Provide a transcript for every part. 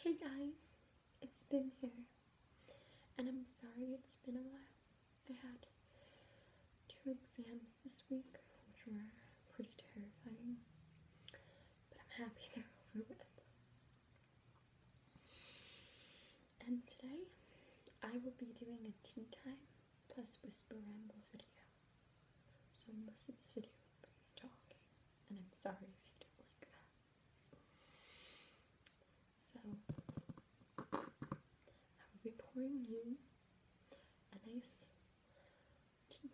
Hey guys, it's been here, and I'm sorry it's been a while. I had two exams this week, which were pretty terrifying, but I'm happy they're over with. And today, I will be doing a tea time plus whisper ramble video. So most of this video will be talking and I'm sorry if you don't like that. So, I will be pouring you a nice tea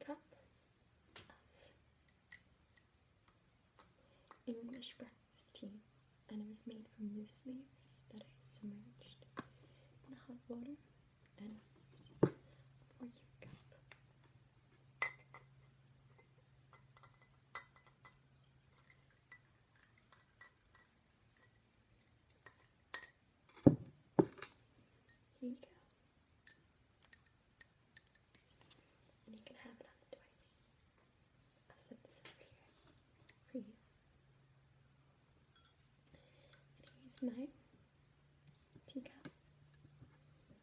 English breakfast tea, and it was made from loose leaves that I submerged in hot water, and i you cup here you go. And you can have it on the tiny. i set this over here for you. here's my teacup.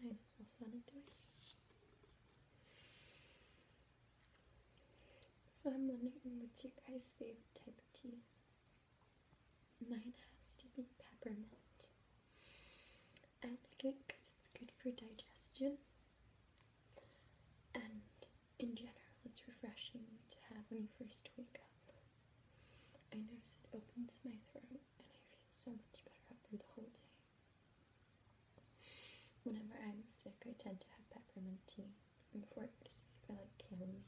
And I just lost So I'm wondering what's your guys' favorite type of tea? Mine has to be peppermint. I like it because it's good for digestion. And in general, it's refreshing to have when you first wake up. I notice it opens my throat and I feel so much better after the whole day. Whenever I'm sick, I tend to have peppermint tea. before I go to sleep, I like chamomile.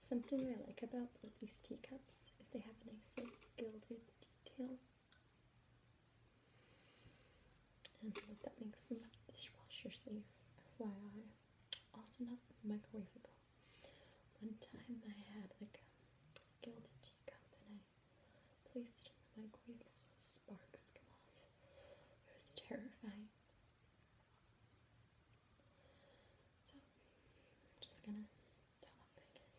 Something I like about these teacups is they have a nice like gilded detail. And that makes them dishwasher safe, FYI. Also not microwaveable. One time I had like a gilded teacup and I placed it in the microwave and sparks came off. It was terrifying. So I'm just gonna talk I guess.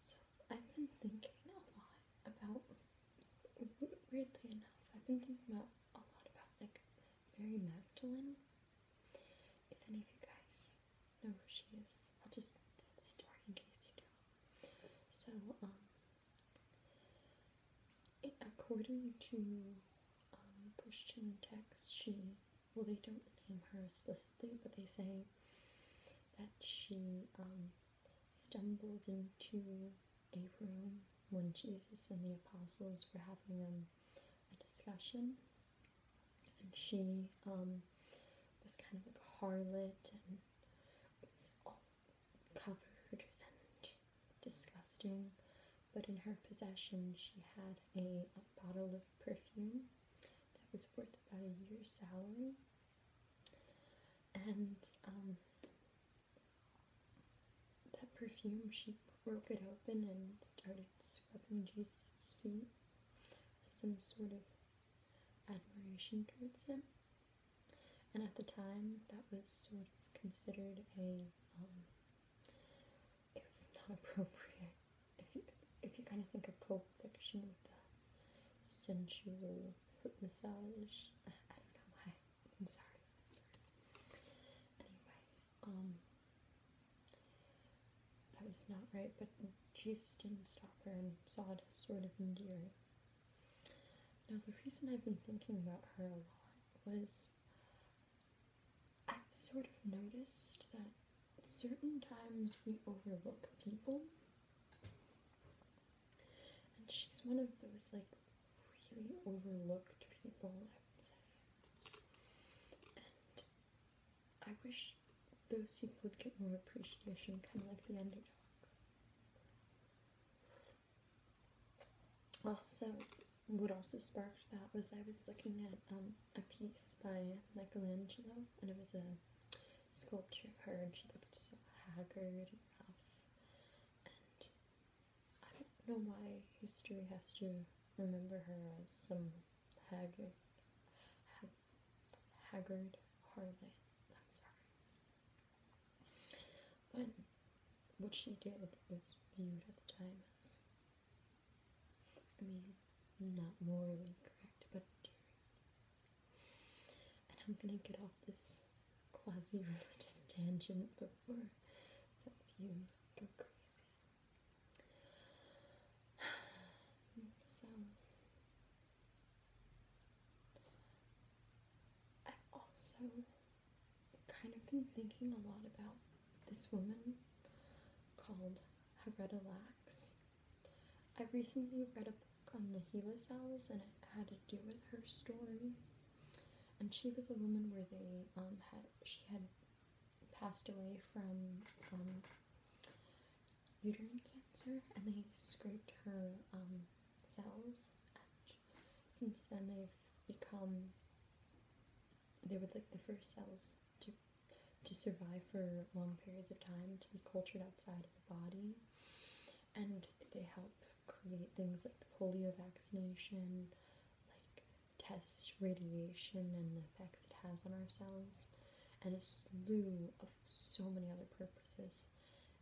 So I've been thinking a lot about weirdly enough, I've been thinking about a lot about like Mary Magdalene. If any of you guys know who she is, I'll just tell the story in case you don't. So, um, according to um, Christian texts, she well, they don't name her explicitly, but they say that she um, stumbled into a room when Jesus and the apostles were having um, a discussion, and she um, was kind of like a harlot and was all covered and disgusting. But in her possession, she had a, bottle of perfume that was worth about a year's salary. And um, that perfume, she broke it open and started scrubbing Jesus' feet as some sort of admiration towards him. And at the time, that was sort of considered a, um, it was not appropriate. If you, if you kind of think of Pulp Fiction with the sensual foot massage, I don't know why I'm sorry. Anyway, um, that was not right, but Jesus didn't stop her and saw it as sort of endearing. Now, the reason I've been thinking about her a lot was I've sort of noticed that certain times we overlook people and she's one of those like really overlooked people, I would say. And I wish those people would get more appreciation, kind of like the underdogs. Also, what also sparked that was I was looking at um, a piece by Michelangelo, and it was a sculpture of her, and she looked so haggard and rough, I don't know why history has to remember her as some haggard, hag, haggard harlot. I'm sorry. But what she did was viewed at the time as, I mean, not morally correct, but And I'm gonna get off this quasi-religious tangent before some of you go crazy. So I've also kind of been thinking a lot about this woman called Haretta Lax. I recently read a book on the Gila cells and it had to do with her story and she was a woman where they um, had she had passed away from um, uterine cancer, and they scraped her um, cells. And since then, they've become they were like the first cells to to survive for long periods of time to be cultured outside of the body and they help create things like the polio vaccination, like test radiation and the effects it has on ourselves, and a slew of so many other purposes.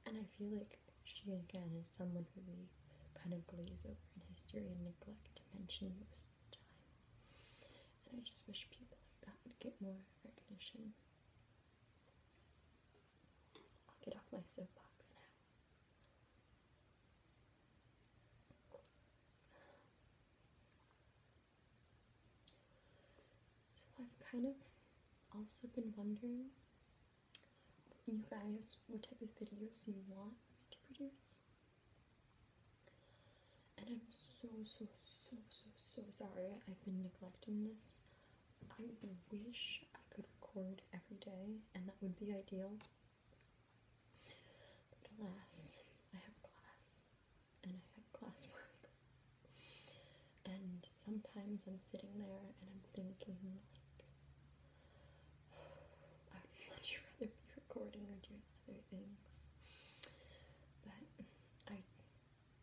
And I feel like she again is someone who we kind of glaze over in history and neglect to mention most of the time. And I just wish people like that would get more recognition. I'll get off my soapbox now. So I've kind of also been wondering you guys what type of videos you want me to produce. And I'm so so so so so sorry I've been neglecting this. I wish I could record every day, and that would be ideal. But alas, I have class, and I have classwork. And sometimes I'm sitting there and I'm thinking, like, I would much rather be recording or doing other things. But I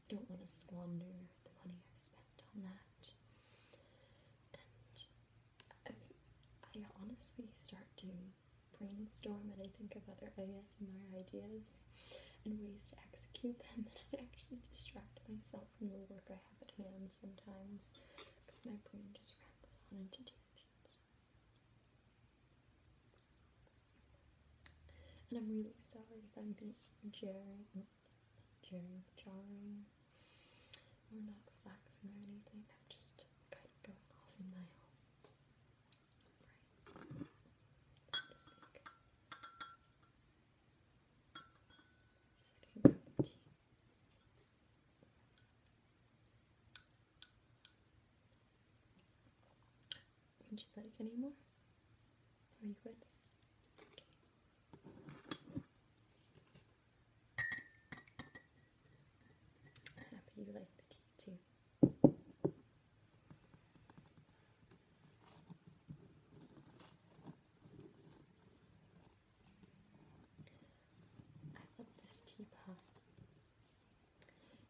don't want to squander the money I've spent have that. And I honestly start to brainstorm and I think of other ideas ASMR ideas and ways to execute them, and I actually distract myself from the work I have at hand sometimes because my brain just rambles on into tangents. And I'm really sorry if I'm being jarring during the jarring. we not relaxing or anything, I'm just kind of going off in my own. Right. Mistake. Second cup of tea. Would you like any more? Are you good? Happy you like the tea too. I love this teapot.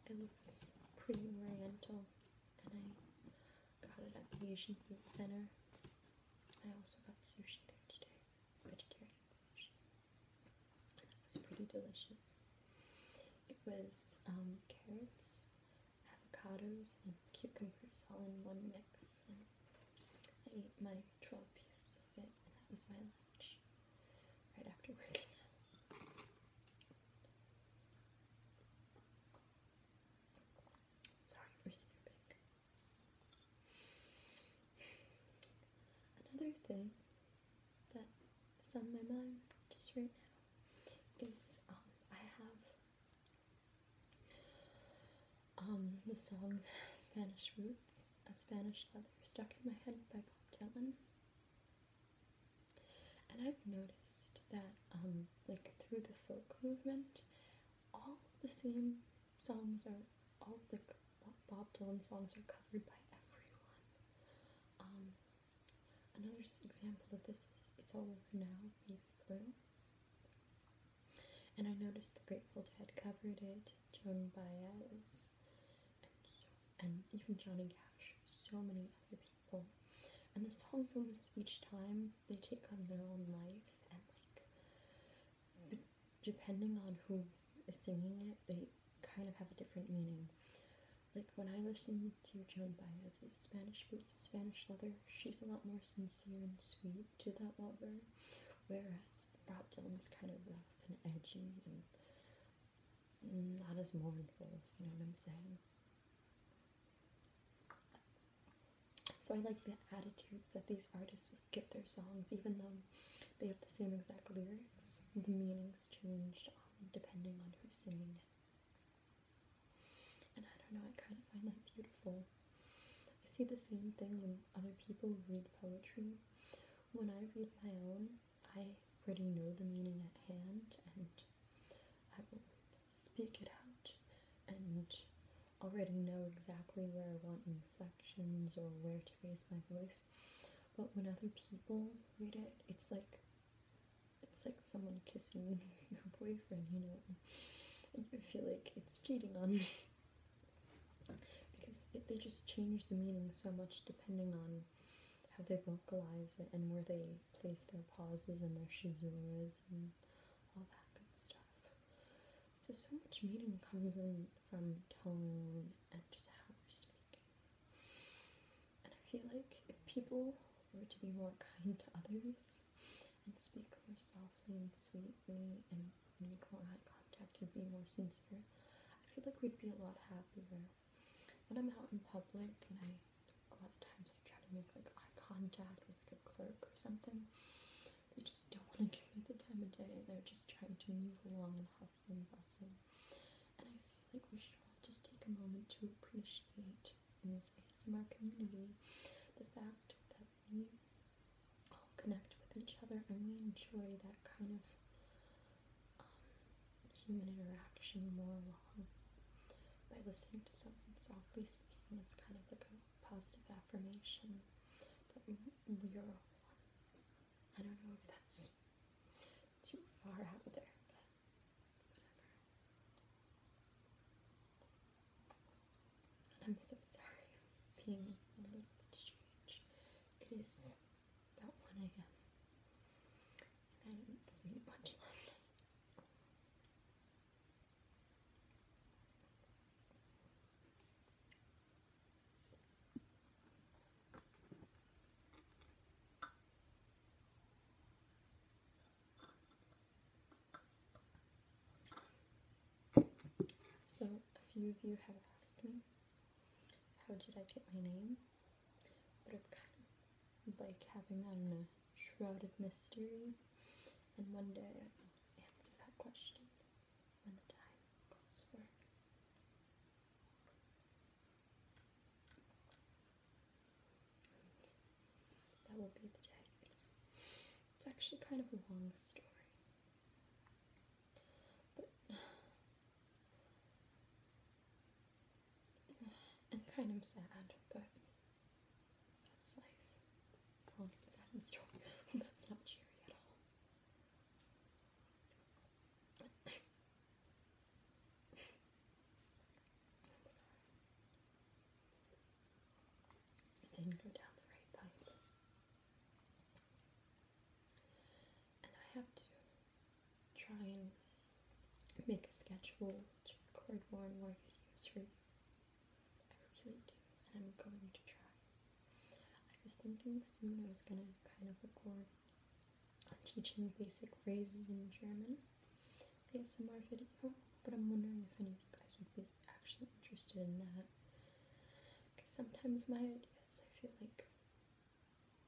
It looks pretty oriental and I got it at Asian Food Center. I also got sushi there today, vegetarian sushi. It was pretty delicious. It was um, carrots, avocados, and cucumbers all in one mix. And I ate my 12 pieces of it, and that was my lunch right after working Sorry for snipping. Another thing that is on my mind just right now is um, I have um, the song Spanish Roots, A Spanish Leather, stuck in my head by Bob Dylan. And I've noticed that, um, like through the folk movement, all the same songs are all the Bob Dylan songs are covered by everyone. Um, another example of this is "It's All Over Now" Baby Blue, and I noticed the Grateful Dead covered it, Joan Baez, and, and even Johnny Cash, so many other people. And the songs almost each time they take on their own life and like depending on who is singing it they kind of have a different meaning like when i listen to joan baez's spanish boots spanish leather she's a lot more sincere and sweet to that lover whereas bob dylan's kind of rough and edgy and not as mournful you know what i'm saying so I like the attitudes that these artists give their songs, even though they have the same exact lyrics. The meanings changed um, depending on who's singing it. And I don't know, I kind of find that beautiful. I see the same thing when other people read poetry. When I read my own, I already know the meaning at hand, and I will speak it out and already know exactly where I want inflections or where to raise my voice. But when other people read it, it's like it's like someone kissing your boyfriend, you know, and you feel like it's cheating on me because they just change the meaning so much depending on how they vocalize it and where they place their pauses and their shizuras and all that good stuff. So, so much meaning comes in from tone and just how we're speaking. And I feel like if people were to be more kind to others and speak more softly and sweetly and make more eye contact and be more sincere, I feel like we'd be a lot happier. When I'm out in public and I a lot of times I try to make like eye contact with like a clerk or something. They just don't want to give me the time of day. They're just trying to move along and hustle and bustle. And I feel like we should all just take a moment to appreciate in this ASMR community the fact that we all connect with each other and we enjoy that kind of um, human interaction more along by listening to someone softly speaking. It's kind of like a positive affirmation that you're one. I don't know if that's too far out there, I'm so sorry being a little bit strange. It is about 1 a.m. I didn't sleep much last night. So, a few of you have asked me, how did I get my name? But I've kind of like having, that don't shroud of mystery. And one day I will answer that question when the time comes for it. that will be the day. It's, actually kind of a long story. and kind of sad, but that's life. That's not cherry at all. didn't go down the right pipe. And I have to try and make a sketchable record more and more videos for I really do, and I'm going to try. I was thinking soon I was going to kind of record teaching basic phrases in German ASMR video, but I'm wondering if any of you guys would be actually interested in that. Because sometimes my ideas, I feel like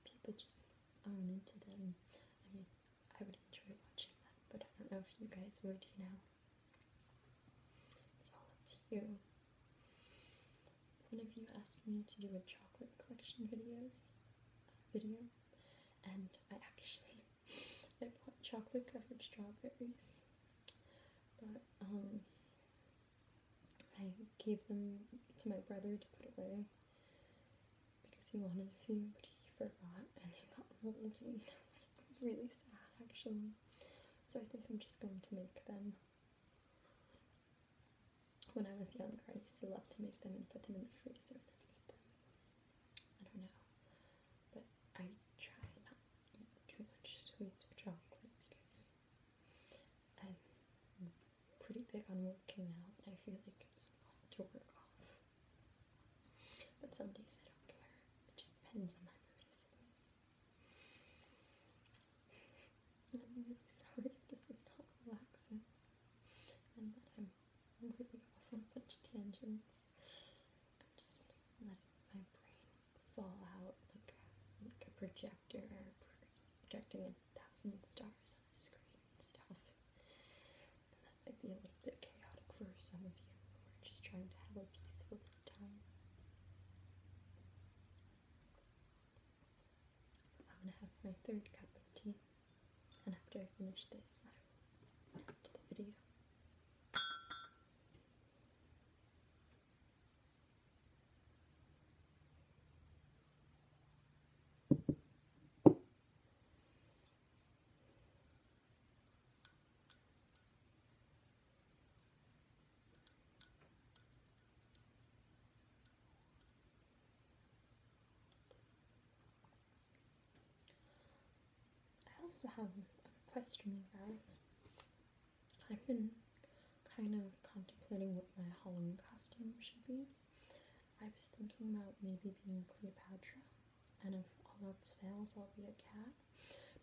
people just aren't into them. I mean, I would enjoy watching them, but I don't know if you guys would, you know. It's all up to you. One of you asked me to do a chocolate collection videos video, and I actually I bought chocolate covered strawberries, but um, I gave them to my brother to put away because he wanted a few, but he forgot and they got moldy. You know, it was really sad actually. So I think I'm just going to make them. When I was younger, I used to love to make them and put them in the freezer and eat them. I don't know, but I try not too much sweets or chocolate because I'm pretty big on working out, and I feel like it's a to work off. But some days I don't care. It just depends on my mood, I am really sorry if this is not relaxing and that I'm really off on a bunch of tangents. I'm just letting my brain fall out like a, like a projector projecting a thousand stars on a screen and stuff. that might be a little bit chaotic for some of you who are just trying to have a peaceful time. I'm gonna have my third cup of tea, and after I finish this, I will add to the video. I also have a question, guys. I've been kind of contemplating what my Halloween costume should be. I was thinking about maybe being Cleopatra and if all else fails, I'll be a cat.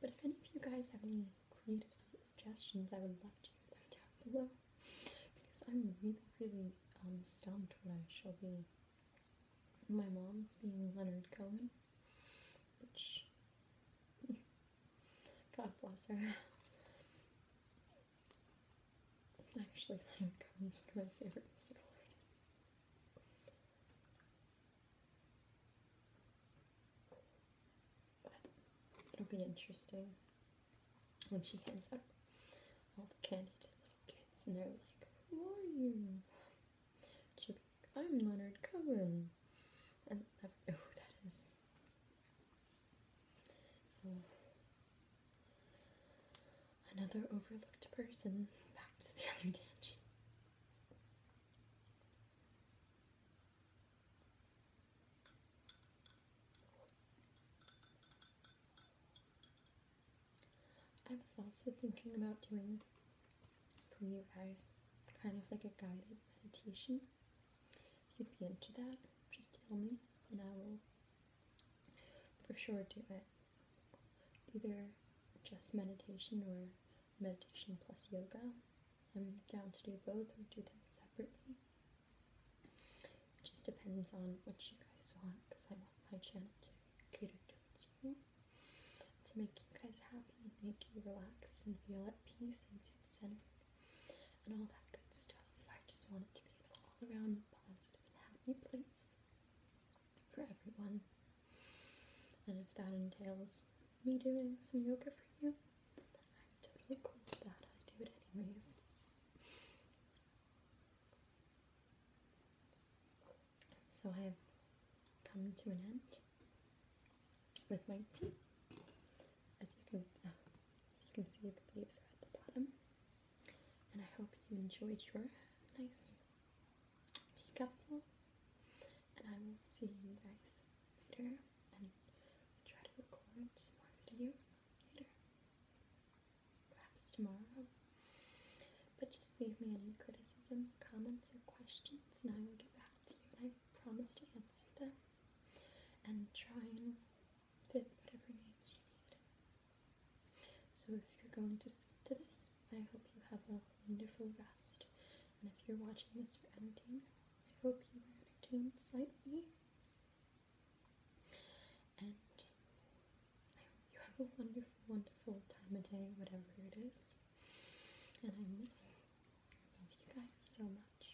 But if any of you guys have any creative suggestions, I would love to hear them down below because I'm really, really um, stumped when I shall be. My mom's being Leonard Cohen, which God bless her. Actually, Leonard Cohen's one of my favorite musical artists. It'll be interesting when she hands out all the candy to little kids and they're like, Who are you? She'll be like, I'm Leonard Cohen. And they that is. Oh. Another overlooked person. Back to the other tangent. I was also thinking about doing for you guys kind of like a guided meditation. If you'd be into that, just tell me and I will for sure do it either just meditation or meditation plus yoga. I'm down to do both or do them separately. It just depends on what you guys want because I want my channel to cater towards you, to make you guys happy and make you relaxed and feel at peace and centered and all that good stuff. I just want it to be an all around positive and happy place for everyone. And if that entails me doing some yoga for you, I'm totally cool with that. I do it anyways. So I have come to an end with my tea. As you can, uh, as you can see, the leaves are at the bottom and I hope you enjoyed your nice teacupful. And I will see you guys later and try to record some more videos later. Perhaps tomorrow. But just leave me any criticism, comments, or questions, and I will get back to you. And I promise to answer them and try and fit whatever needs you need. So, if you're going to sleep to this, I hope you have a wonderful rest. And if you're watching this for entertainment, I hope you are entertained slightly. And I hope you have a wonderful, wonderful time of day, whatever it is. And I miss, I love you guys so much.